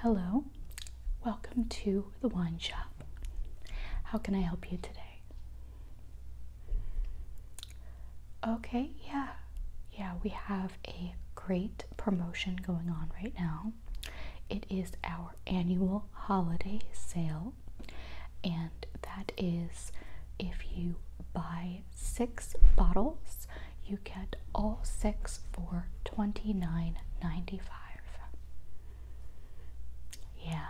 Hello, welcome to the wine shop. How can I help you today? Okay, yeah, yeah, we have a great promotion going on right now. It is our annual holiday sale, and that is if you buy six bottles you get all six for $29.95. Yeah,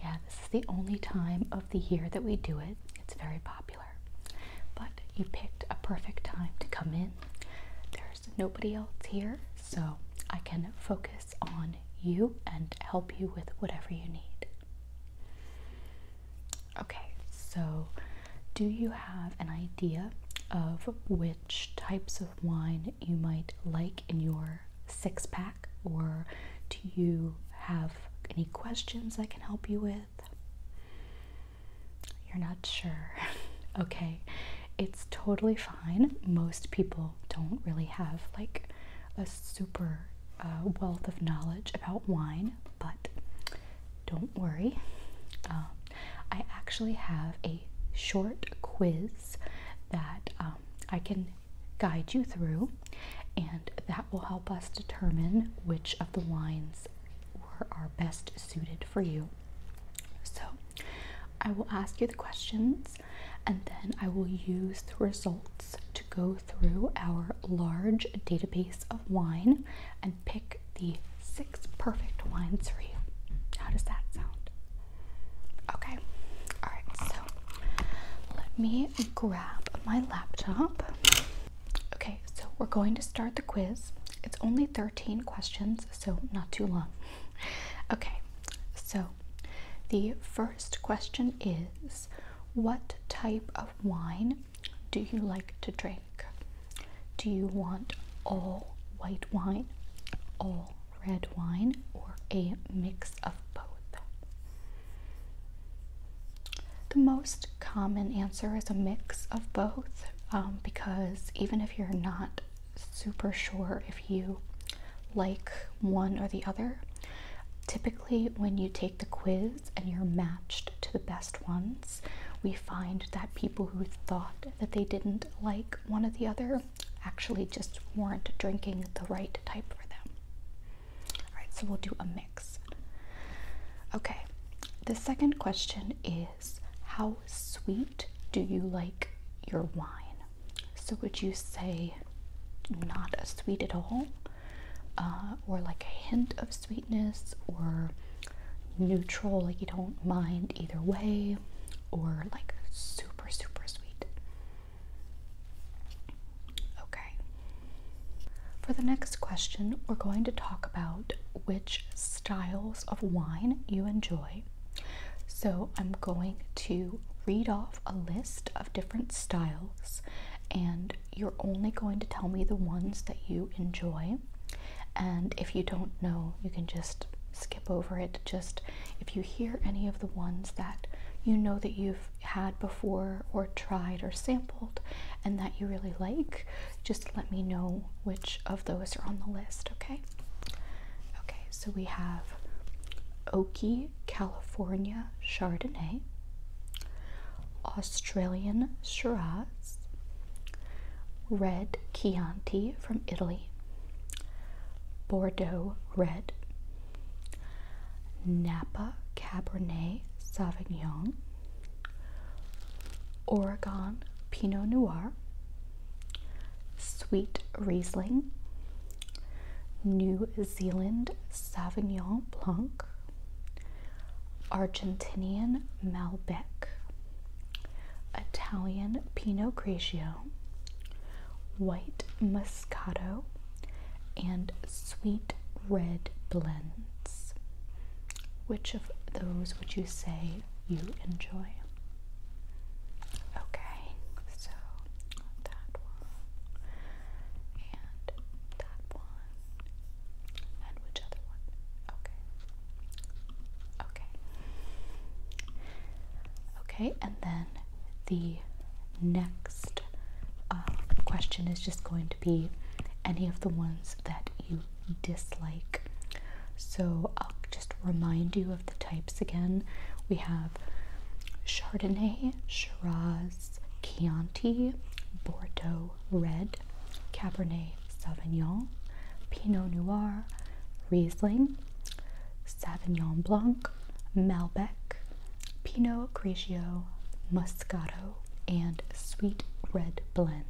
yeah, this is the only time of the year that we do it. It's very popular. But you picked a perfect time to come in. There's nobody else here, so I can focus on you and help you with whatever you need. Okay, so do you have an idea of where? which types of wine you might like in your six pack, or do you have any questions I can help you with? You're not sure. okay, it's totally fine. Most people don't really have like a super uh, wealth of knowledge about wine, but don't worry. Um, I actually have a short quiz that um, I can guide you through, and that will help us determine which of the wines are best suited for you. So I will ask you the questions, and then I will use the results to go through our large database of wine and pick the six perfect wines for you. How does that sound? Okay, all right, so let me grab my laptop. Okay, so we're going to start the quiz. It's only 13 questions, so not too long. Okay, so the first question is What type of wine do you like to drink? Do you want all white wine, all red wine, or a mix of both? The most common answer is a mix of both um, because even if you're not super sure if you like one or the other, typically when you take the quiz and you're matched to the best one, we find that people who thought that they didn't like one or the other actually just weren't drinking the right type for them. Alright, so we'll do a mix. Okay, the second question is how sweet do you like your wine? So would you say not sweet at all? Uh, or like a hint of sweetness or neutral, like you don't mind either way, or like super, super sweet. Okay. For the next question, we're going to talk about which styles of wine you enjoy. So I'm going to read off a list of different styles, and you're only going to tell me the ones that you enjoy. And if you don't know, you can just skip over it. Just if you hear any of the ones that you know that you've had before or tried or sampled and that you really like, just let me know which of those are on the list, okay? Okay, so we have Oaky California Chardonnay, Australian Shiraz, red Chianti from Italy, Bordeaux red, Napa Cabernet Sauvignon, Oregon Pinot Noir, sweet Riesling, New Zealand Sauvignon Blanc, Argentinian Malbec, Italian Pinot Grigio, White Moscato, and Sweet Red Blends. Which of those would you say you enjoy? Okay, so that one and that one. And which other one? Okay. Okay. Okay, and then the next uh, question is just going to be any of the ones that you dislike. So I'll just remind you of the types again. We have Chardonnay, Shiraz, Chianti, Bordeaux, Red, Cabernet Sauvignon, Pinot Noir, Riesling, Sauvignon Blanc, Malbec, Pinot Grigio, Moscato, and Sweet Red blends.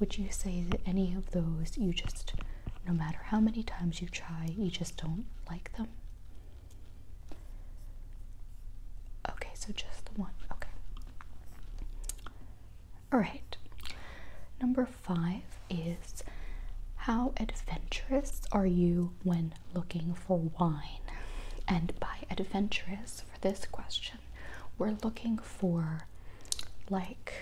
Would you say that any of those you just, no matter how many times you try, you just don't like them? Okay, so just the one. Okay. All right. Number five is how adventurous are you when looking for wine? And by adventurous, for this question, we're looking for like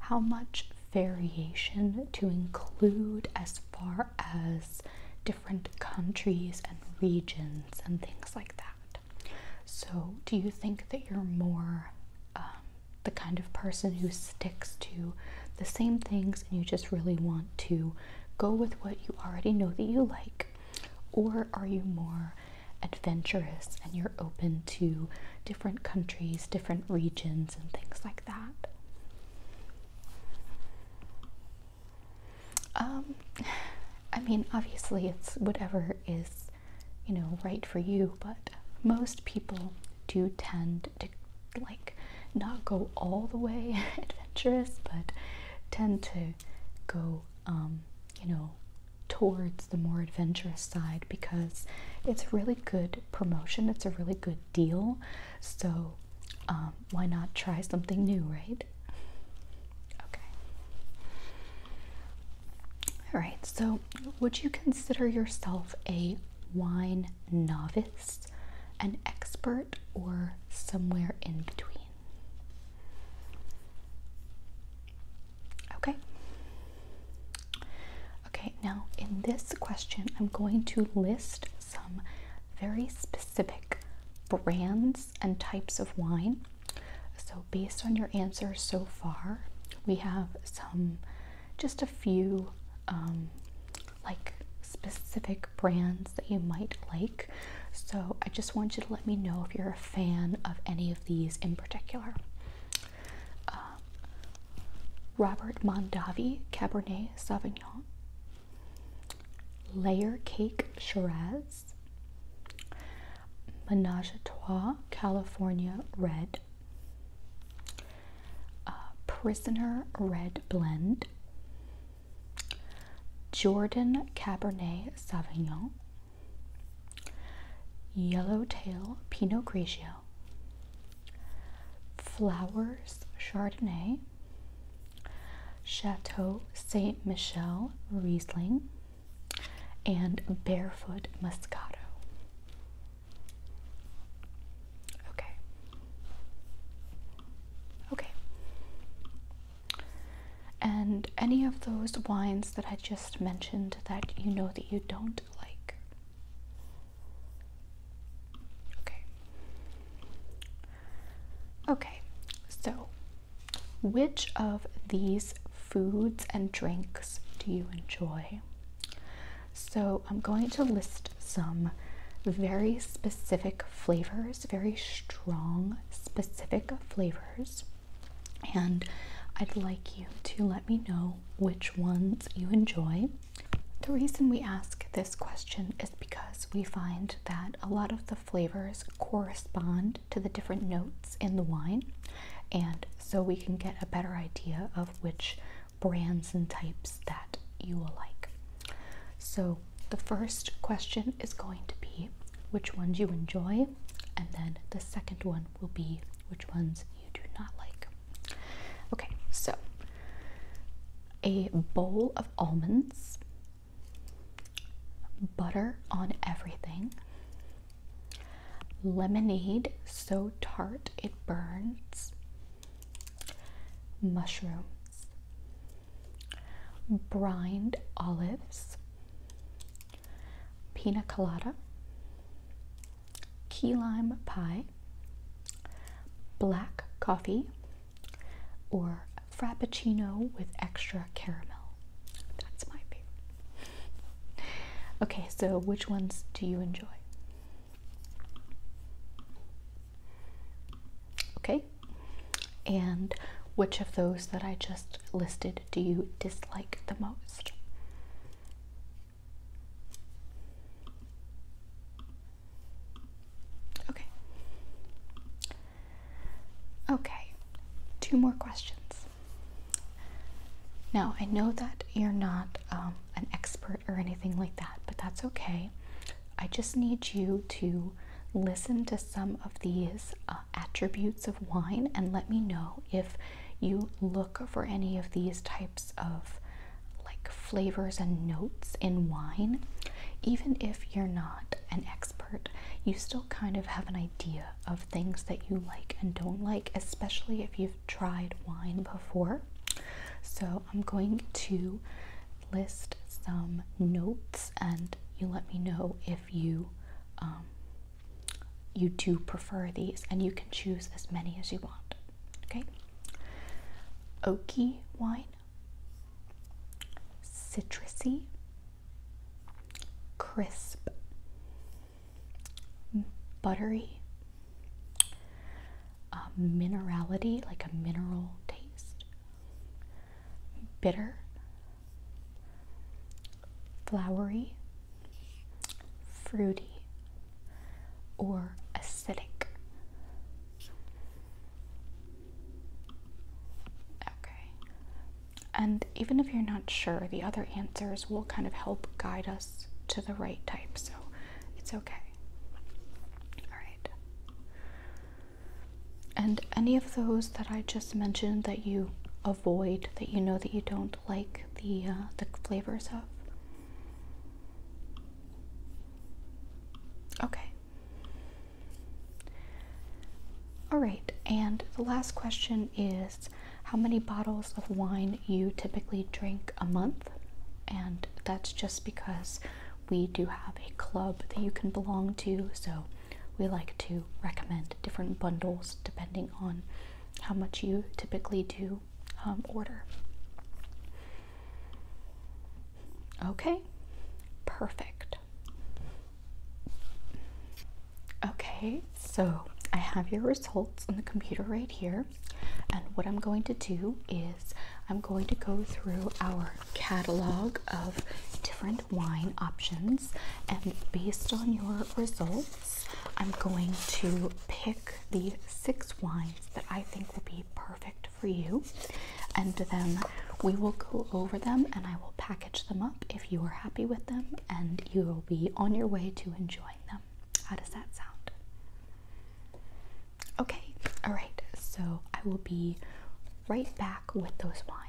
how much variation to include as far as different countries and regions and things like that. So, do you think that you're more um, the kind of person who sticks to the same things and you just really want to go with what you already know that you like? Or are you more adventurous and you're open to different countries, different regions, and things like that? Um, I mean, obviously, it's whatever is, you know, right for you, but most people do tend to, like, not go all the way adventurous, but tend to go, um, you know, towards the more adventurous side because it's a really good promotion, it's a really good deal, so um, why not try something new, right? Okay. All right. So, would you consider yourself a wine novice, an expert, or somewhere in between? Okay. Okay, now in this question, I'm going to list some very specific brands and types of wine so, based on your answers so far, we have some just a few um, like specific brands that you might like. So, I just want you to let me know if you're a fan of any of these in particular. Uh, Robert Mondavi Cabernet Sauvignon, Layer Cake Shiraz, is Menage California Red, uh, Prisoner Red Blend, Jordan Cabernet Sauvignon, Yellowtail Pinot Grigio, Flowers Chardonnay, Chateau Saint Michel Riesling, and Barefoot Moscato. Okay. Okay. And any of those wines that I just mentioned that you know that you don't like? Okay. Okay, so which of these foods and drinks do you enjoy? So, I'm going to list some very specific flavors, very strong, specific flavors, and I'd like you to let me know which ones you enjoy. The reason we ask this question is because we find that a lot of the flavors correspond to the different notes in the wine, and so we can get a better idea of which brands and types that you will like. So, the first question is going to be which ones you enjoy, and then the second one will be which ones you do not like. Okay, so a bowl of almonds butter on everything, lemonade so tart it burns, mushrooms, brined olives, pina colada, key lime pie, black coffee, or frappuccino with extra caramel. That's my favorite. Okay, so which ones do you enjoy? Okay, and which of those that I just listed do you dislike the most? Okay. Okay, two more questions. Now, I know that you're not um, an expert or anything like that, but that's okay. I just need you to listen to some of these uh, attributes of wine and let me know if you look for any of these types of like flavors and notes in wine, even if you're not an expert you still kind of have an idea of things that you like and don't like, especially if you've tried wine before. So, I'm going to list some notes and you let me know if you um, you do prefer these and you can choose as many as you want. Okay? Oaky wine citrusy, crisp, mm, buttery, minerality, like a mineral taste, bitter, flowery, fruity, or acidic. Okay. And even if you're not sure, the other answers will kind of help guide us to the right type, so it's okay. All right. And any of those that I just mentioned that you avoid, that you know that you don't like the uh, the flavors of. Okay. All right, and the last question is how many bottles of wine you typically drink a month? And that's just because we do have a club that you can belong to, so we like to recommend different bundles depending on how much you typically do um, order. Okay, perfect. Okay, so I have your results on the computer right here. And what I'm going to do is I'm going to go through our catalog of different wine options. And based on your results, I'm going to pick the six wines that I think will be perfect for you, and then we will go over them and I will package them up if you are happy with them, and you will be on your way to enjoying them. How does that sound? Okay, all right, so I will be right back with those wines.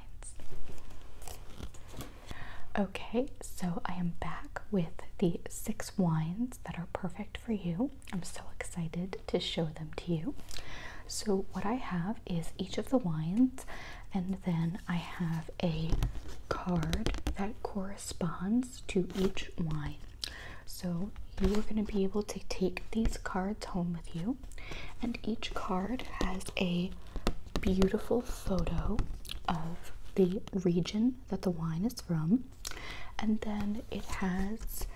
Okay, so I am back with the six wines that are perfect for you. I'm so excited to show them to you. So, what I have is each of the wines, and then I have a card that corresponds to each wine. So, you are going to be able to take these cards home with you, and each card has a beautiful photo of the region that the wine is from, and then it has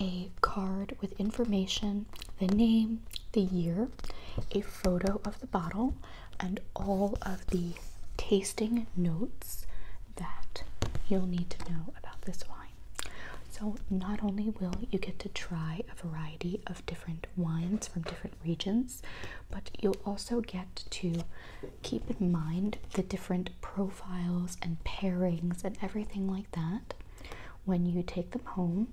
a card with information, the name, the year, a photo of the bottle, and all of the tasting notes that you'll need to know about this wine. So, not only will you get to try a variety of different wines from different regions, but you'll also get to keep in mind the different profiles and pairings and everything like that when you take them home.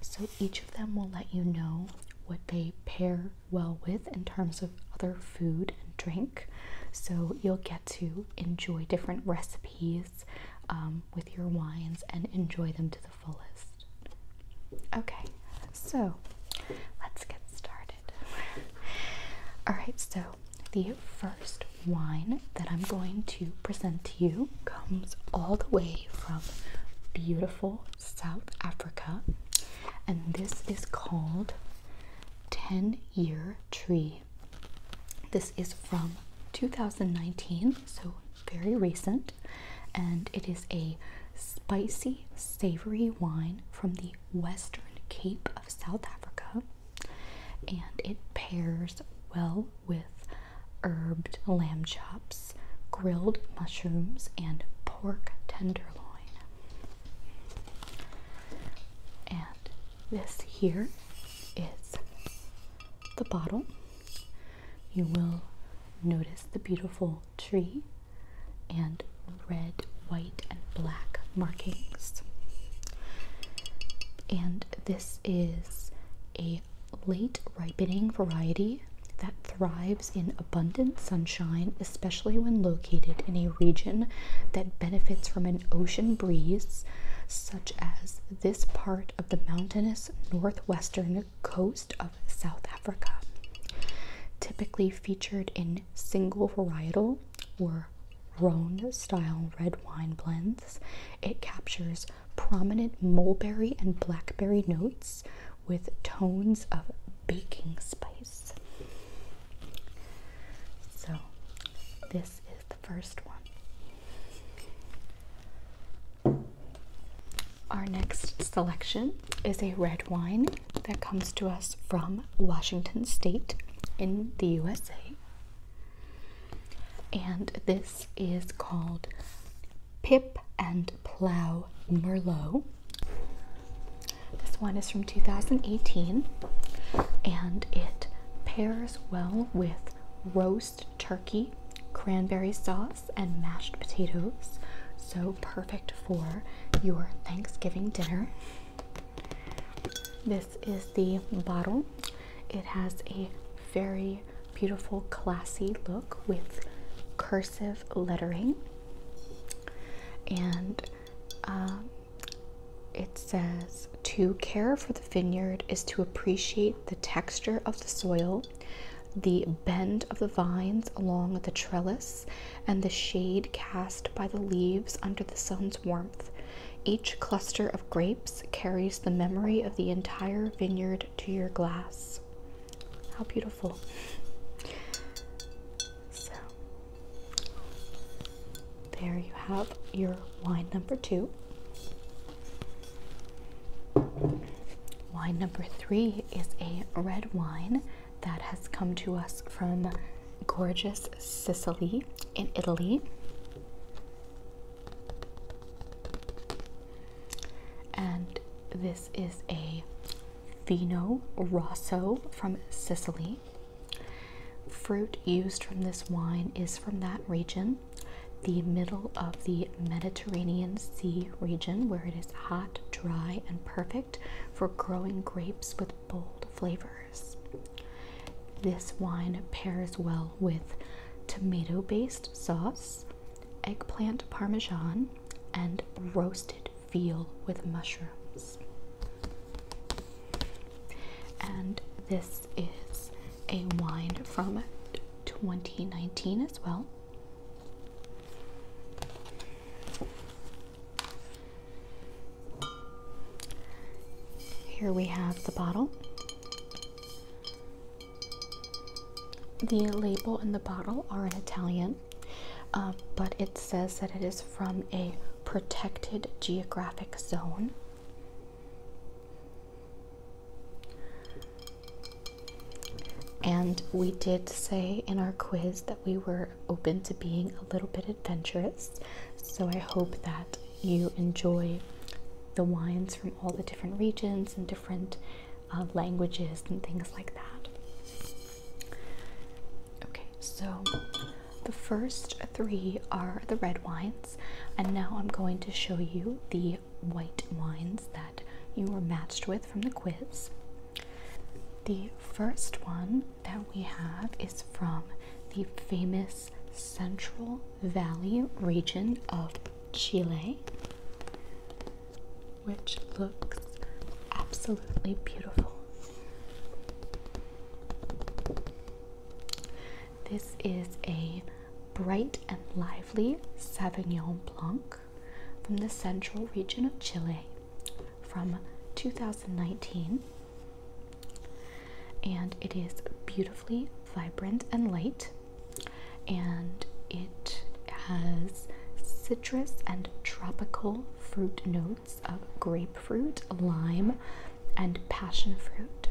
So each of them will let you know what they pair well with in terms of other food and drink. So you'll get to enjoy different recipes um, with your wines and enjoy them to the fullest. Okay, so let's get started. All right, so the first wine that I'm going to present to you comes all the way from beautiful South Africa, and this is called 10 Year Tree. This is from 2019, so very recent, and it is a spicy, savory wine from the Western Cape of South Africa and it pairs well with herbed lamb chops, grilled mushrooms, and pork tenderloin. And this here is the bottle. You will notice the beautiful tree and red, white, and black markings. And this this is a late ripening variety that thrives in abundant sunshine, especially when located in a region that benefits from an ocean breeze, such as this part of the mountainous northwestern coast of South Africa. Typically featured in single varietal or Rhone style red wine blends. It captures prominent mulberry and blackberry notes with tones of baking spice. So, this is the first one. Our next selection is a red wine that comes to us from Washington State in the USA. And this is called Pip and Plow Merlot. This one is from 2018 and it pairs well with roast turkey, cranberry sauce, and mashed potatoes. So perfect for your Thanksgiving dinner. This is the bottle it has a very beautiful, classy look with cursive lettering, and um, it says to care for the vineyard is to appreciate the texture of the soil, the bend of the vines along the trellis, and the shade cast by the leaves under the sun's warmth. Each cluster of grapes carries the memory of the entire vineyard to your glass. How beautiful. So, there you have your wine number two. Wine number three is a red wine that has come to us from gorgeous Sicily in Italy. And this is a Fino Rosso from Sicily. Fruit used from this wine is from that region, the middle of the Mediterranean Sea region, where it is hot, dry, and perfect for growing grapes with bold flavors. This wine pairs well with tomato based sauce, eggplant parmesan, and roasted veal with mushrooms. And this is a wine from 2019 as well. Here we have the bottle. The label and the bottle are in Italian, uh, but it says that it is from a protected geographic zone. And we did say in our quiz that we were open to being a little bit adventurous. So I hope that you enjoy the wines from all the different regions and different uh, languages and things like that. Okay, so the first three are the red wines, and now I'm going to show you the white wines that you were matched with from the quiz. The first one that we have is from the famous Central Valley region of Chile, which looks absolutely beautiful. This is a bright and lively Sauvignon Blanc from the central region of Chile from 2019. And it is beautifully vibrant and light, and it has citrus and tropical fruit notes of grapefruit, lime, and passion fruit.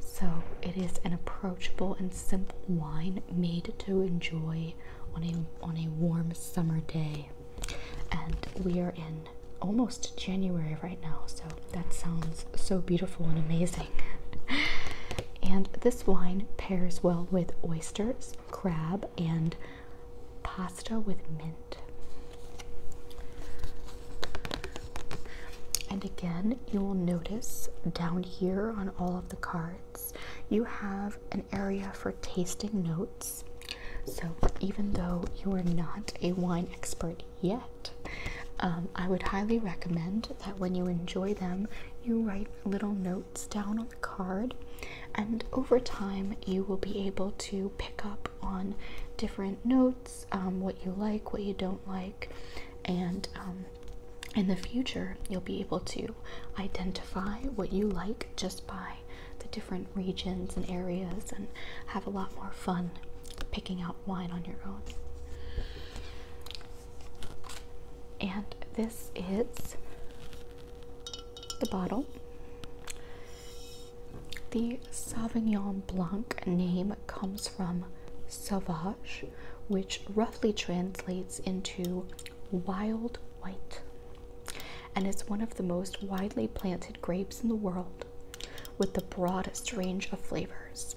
So, it is an approachable and simple wine made to enjoy on a on a warm summer day. And we are in almost January right now, so that sounds so beautiful and amazing. and this wine pairs well with oysters, crab, and pasta with mint. And again, you will notice down here on all of the cards, you have an area for tasting notes. So, even though you are not a wine expert yet, um, I would highly recommend that when you enjoy them, you write little notes down on the card, and over time, you will be able to pick up on different notes um, what you like, what you don't like, and um, in the future, you'll be able to identify what you like just by the different regions and areas and have a lot more fun picking out wine on your own. And this is the bottle. The Sauvignon Blanc name comes from Sauvage, which roughly translates into wild white and it's one of the most widely planted grapes in the world with the broadest range of flavors.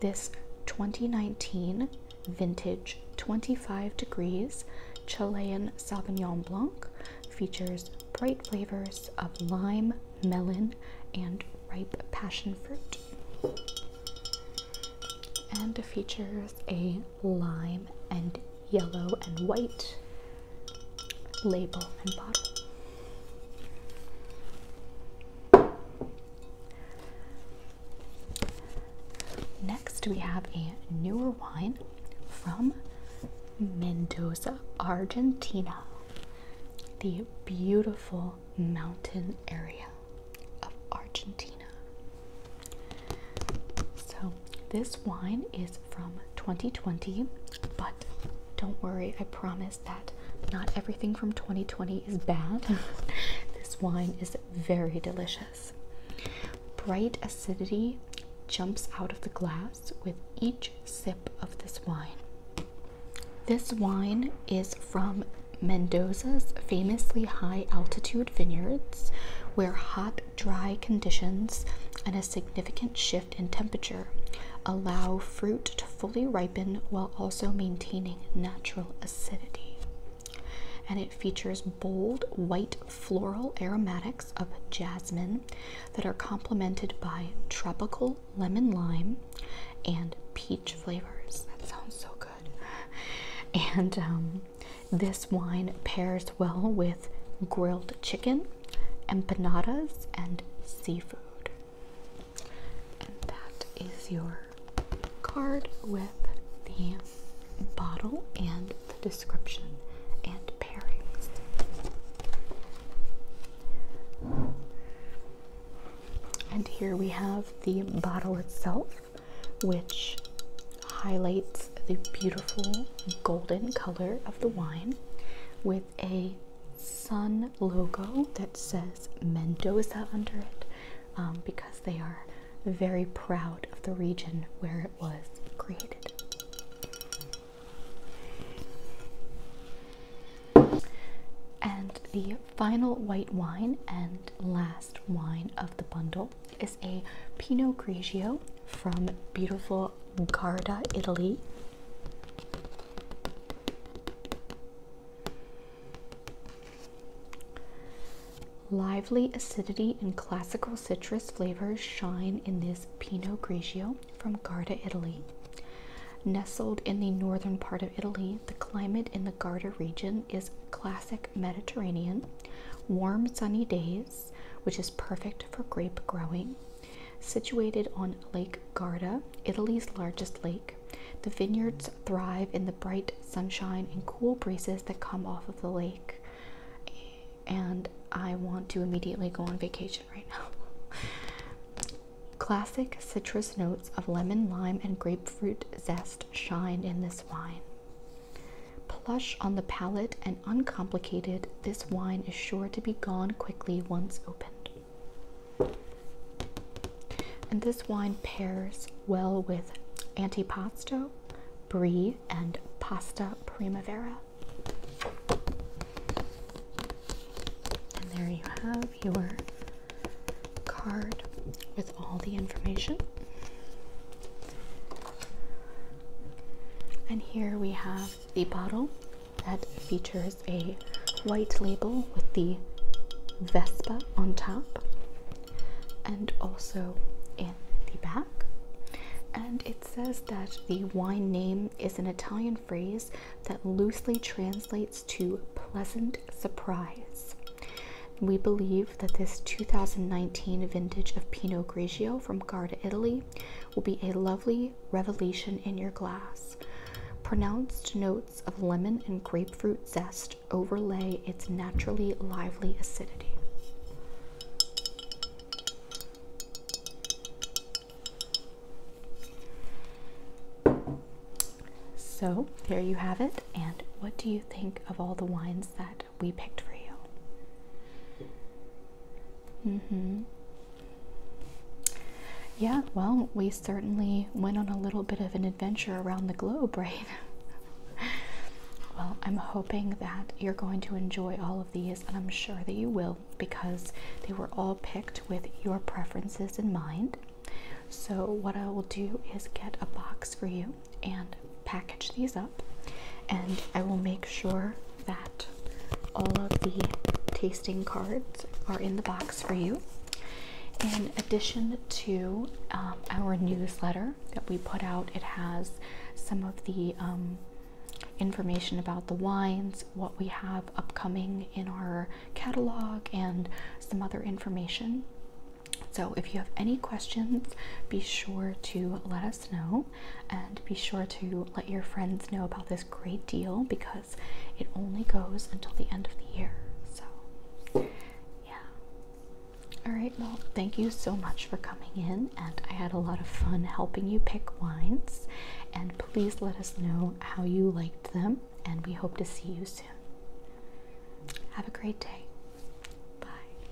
This 2019 vintage 25 degrees Chilean Sauvignon Blanc features bright flavors of lime, melon, and ripe passion fruit. And features a lime and yellow, and white label and bottle. Next, we have a newer wine from Mendoza, Argentina, the beautiful mountain area of Argentina. So, this wine is from 2020, but don't worry, I promise that not everything from 2020 is bad. this wine is very delicious. Bright acidity jumps out of the glass with each sip of this wine. This wine is from Mendoza's famously high altitude vineyards, where hot, dry conditions and a significant shift in temperature allow fruit to fully ripen while also maintaining natural acidity and it features bold white floral aromatics of jasmine that are complemented by tropical lemon lime and peach flavors that sounds so good and um, this wine pairs well with grilled chicken empanadas, and seafood. And that is your card with the bottle and the description and pairings. And here we have the bottle itself, which highlights the beautiful golden color of the wine with a sun logo that says Mendoza under it um, because they are very proud of the region where it was created. And the final white wine and last wine of the bundle is a Pinot Grigio from beautiful Garda, Italy. Lively acidity and classical citrus flavors shine in this Pinot Grigio from Garda, Italy. Nestled in the northern part of Italy, the climate in the Garda region is classic Mediterranean. Warm, sunny days which is perfect for grape growing. Situated on Lake Garda, Italy's largest lake, the vineyards thrive in the bright sunshine and cool breezes that come off of the lake. And I want to immediately go on vacation right now. Classic citrus notes of lemon, lime, and grapefruit zest shine in this wine. Plush on the palate and uncomplicated, this wine is sure to be gone quickly once opened. And this wine pairs well with antipasto, brie, and pasta primavera. And there you have your card with all the information. And here we have the bottle that features a white label with the Vespa on top and also in the back. And it says that the wine name is an Italian phrase that loosely translates to pleasant surprise. We believe that this 2019 vintage of Pinot Grigio from Garda, Italy, will be a lovely revelation in your glass. Pronounced notes of lemon and grapefruit zest overlay its naturally lively acidity. So, there you have it. And what do you think of all the wines that we picked for you. Mm-hmm. Yeah, well, we certainly went on a little bit of an adventure around the globe, right? well, I'm hoping that you're going to enjoy all of these, and I'm sure that you will because they were all picked with your preferences in mind. So, what I will do is get a box for you and package these up, and I will make sure that all of the tasting cards are in the box for you. In addition to um, our newsletter that we put out, it has some of the um, information about the wines, what we have upcoming in our catalog, and some other information. So, if you have any questions, be sure to let us know and be sure to let your friends know about this great deal because it only goes until the end of the year. So, yeah. All right, well, thank you so much for coming in, and I had a lot of fun helping you pick wines. And please let us know how you liked them, and we hope to see you soon. Have a great day. Bye.